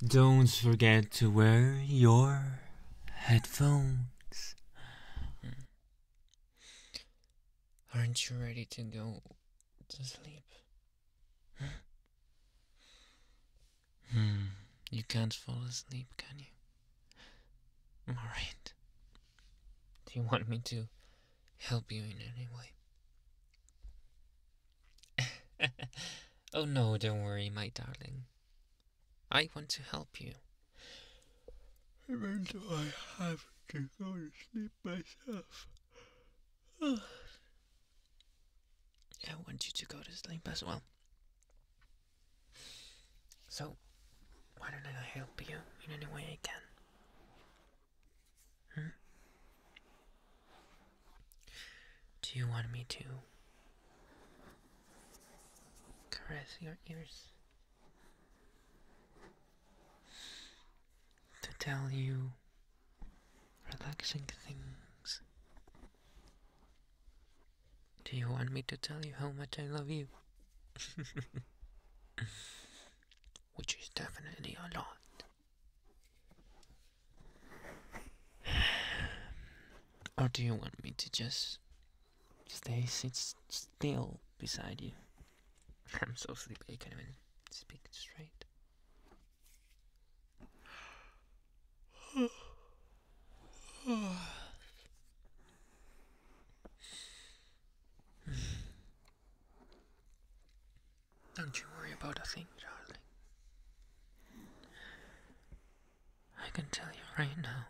Don't forget to wear your headphones. Hmm. Aren't you ready to go to sleep? Hmm. Hmm. You can't fall asleep, can you? Alright. Do you want me to help you in any way? oh no, don't worry, my darling. I want to help you. Even though I have to go to sleep myself. I want you to go to sleep as well. So, why don't I help you in any way I can? Hmm? Do you want me to caress your ears? To tell you relaxing things? Do you want me to tell you how much I love you? Which is definitely a lot. Or do you want me to just stay sit still beside you? I'm so sleepy I can't even speak straight. Don't you worry about a thing, darling. I can tell you right now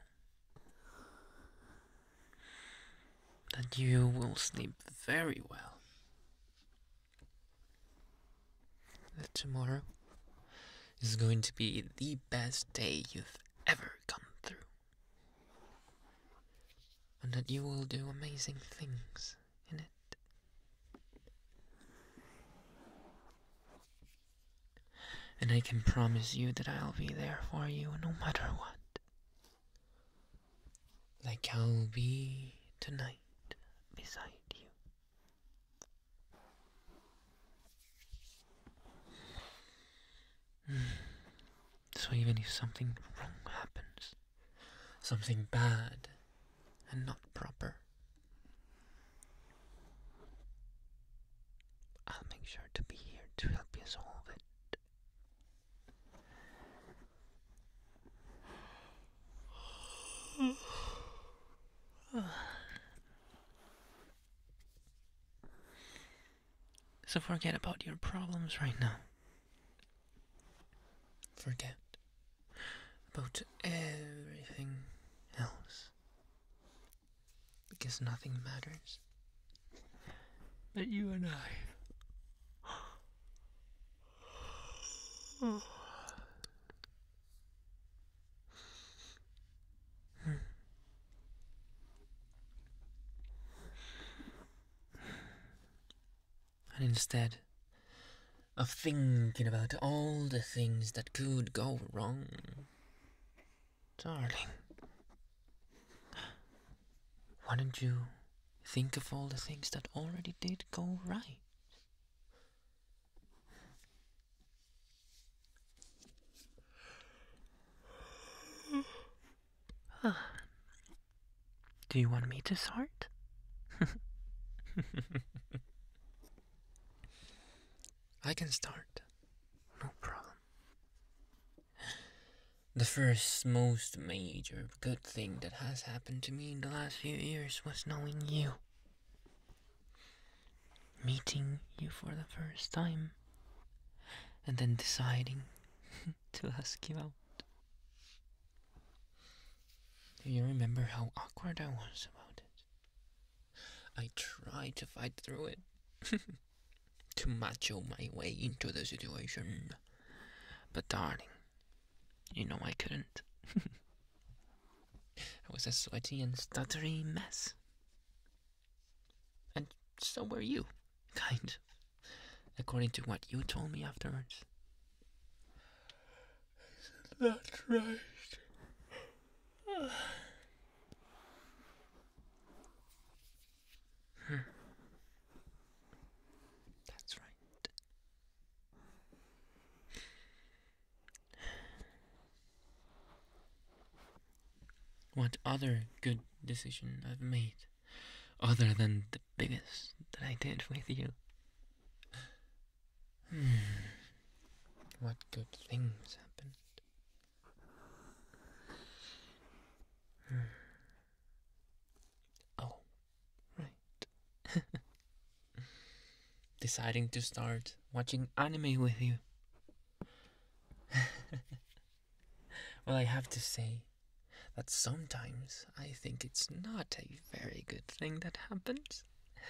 that you will sleep very well. That tomorrow is going to be the best day you've ever come through. And that you will do amazing things in it. And I can promise you that I'll be there for you no matter what. Like I'll be tonight beside you. Mm. So even if something wrong happens, something bad and not proper. I'll make sure to be here to help you solve it. So forget about your problems right now. Forget about everything else because nothing matters but you and I. And instead, of thinking about all the things that could go wrong. Darling, why don't you think of all the things that already did go right? Do you want me to start? I can start. No problem. The first, most major good thing that has happened to me in the last few years was knowing you. Meeting you for the first time. And then deciding to ask you out. Do you remember how awkward I was about it? I tried to fight through it, to macho my way into the situation. But darling, you know I couldn't. I was a sweaty and stuttery mess. And so were you, kind according to what you told me afterwards. Isn't that right? That's right. What other good decision I've made, other than the biggest that I did with you? Hmm. What good things happened? Hmm. Oh, right. Deciding to start watching anime with you. well, I have to say that sometimes I think it's not a very good thing that happens.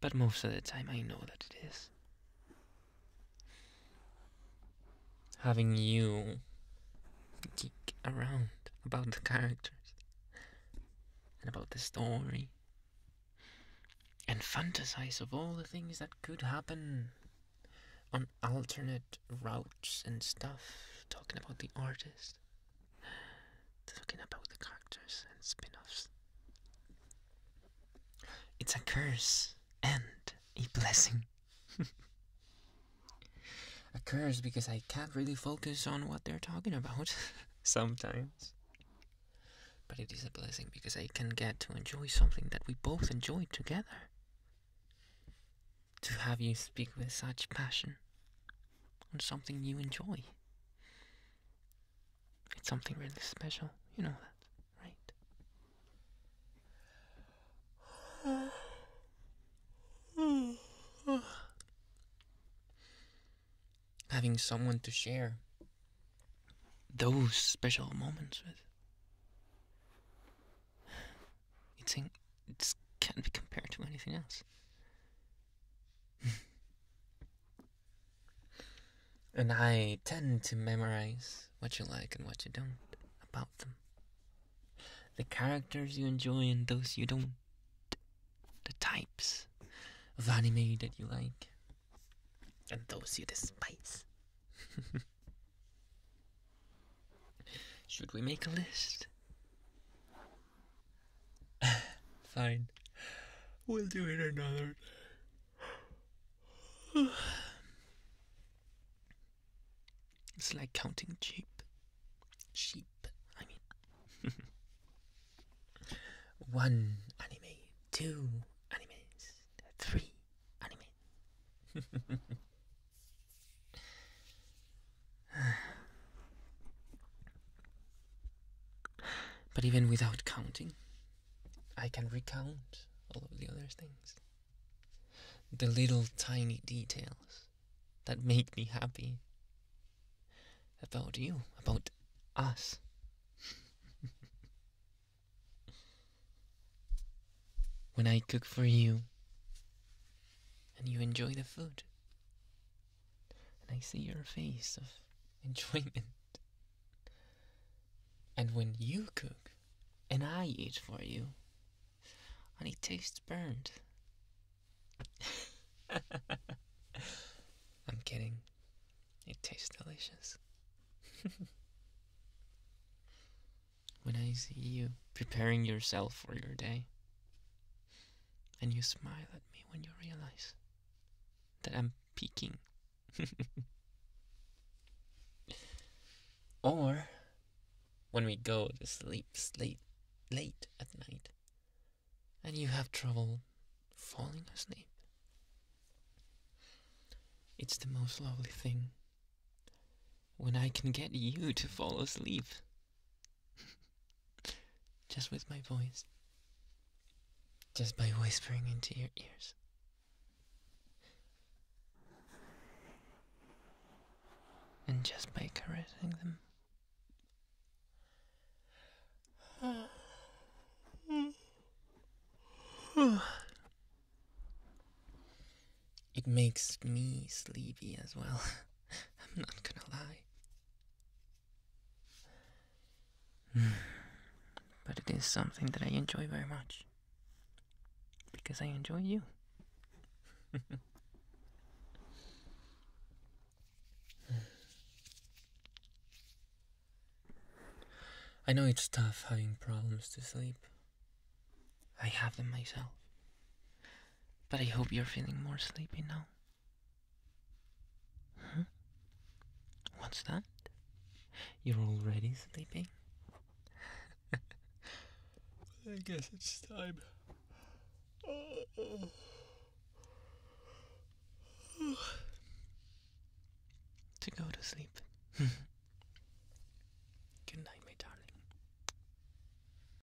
but most of the time I know that it is. Having you geek around about the characters and about the story and fantasize of all the things that could happen on alternate routes and stuff, talking about the artist talking about the characters and spin offs. It's a curse and a blessing. a curse because I can't really focus on what they're talking about sometimes. But it is a blessing because I can get to enjoy something that we both enjoyed together to have you speak with such passion on something you enjoy. It's something really special, you know that, right? Having someone to share those special moments with. It's it can't be compared to anything else. and I tend to memorize what you like and what you don't about them. The characters you enjoy and those you don't. The types of anime that you like and those you despise. Should we make a list? Fine. We'll do it another day. it's like counting sheep. Sheep, I mean. One anime, two animes, three anime. But even without counting, I can recount all of the other things. The little tiny details that make me happy about you, about us. when I cook for you and you enjoy the food, and I see your face of enjoyment. And when you cook and I eat for you, and it tastes burned, I'm kidding. It tastes delicious. when I see you preparing yourself for your day, and you smile at me when you realize that I'm peeking. or when we go to sleep late, late at night and you have trouble falling asleep. It's the most lovely thing when I can get you to fall asleep. Just with my voice. Just by whispering into your ears. And just by caressing them. It makes me sleepy as well. I'm not gonna lie. But it is something that I enjoy very much. Because I enjoy you. I know it's tough having problems to sleep. I have them myself. But I hope you're feeling more sleepy now. What's that? You're already sleeping? I guess it's time. to go to sleep. Good night, my darling.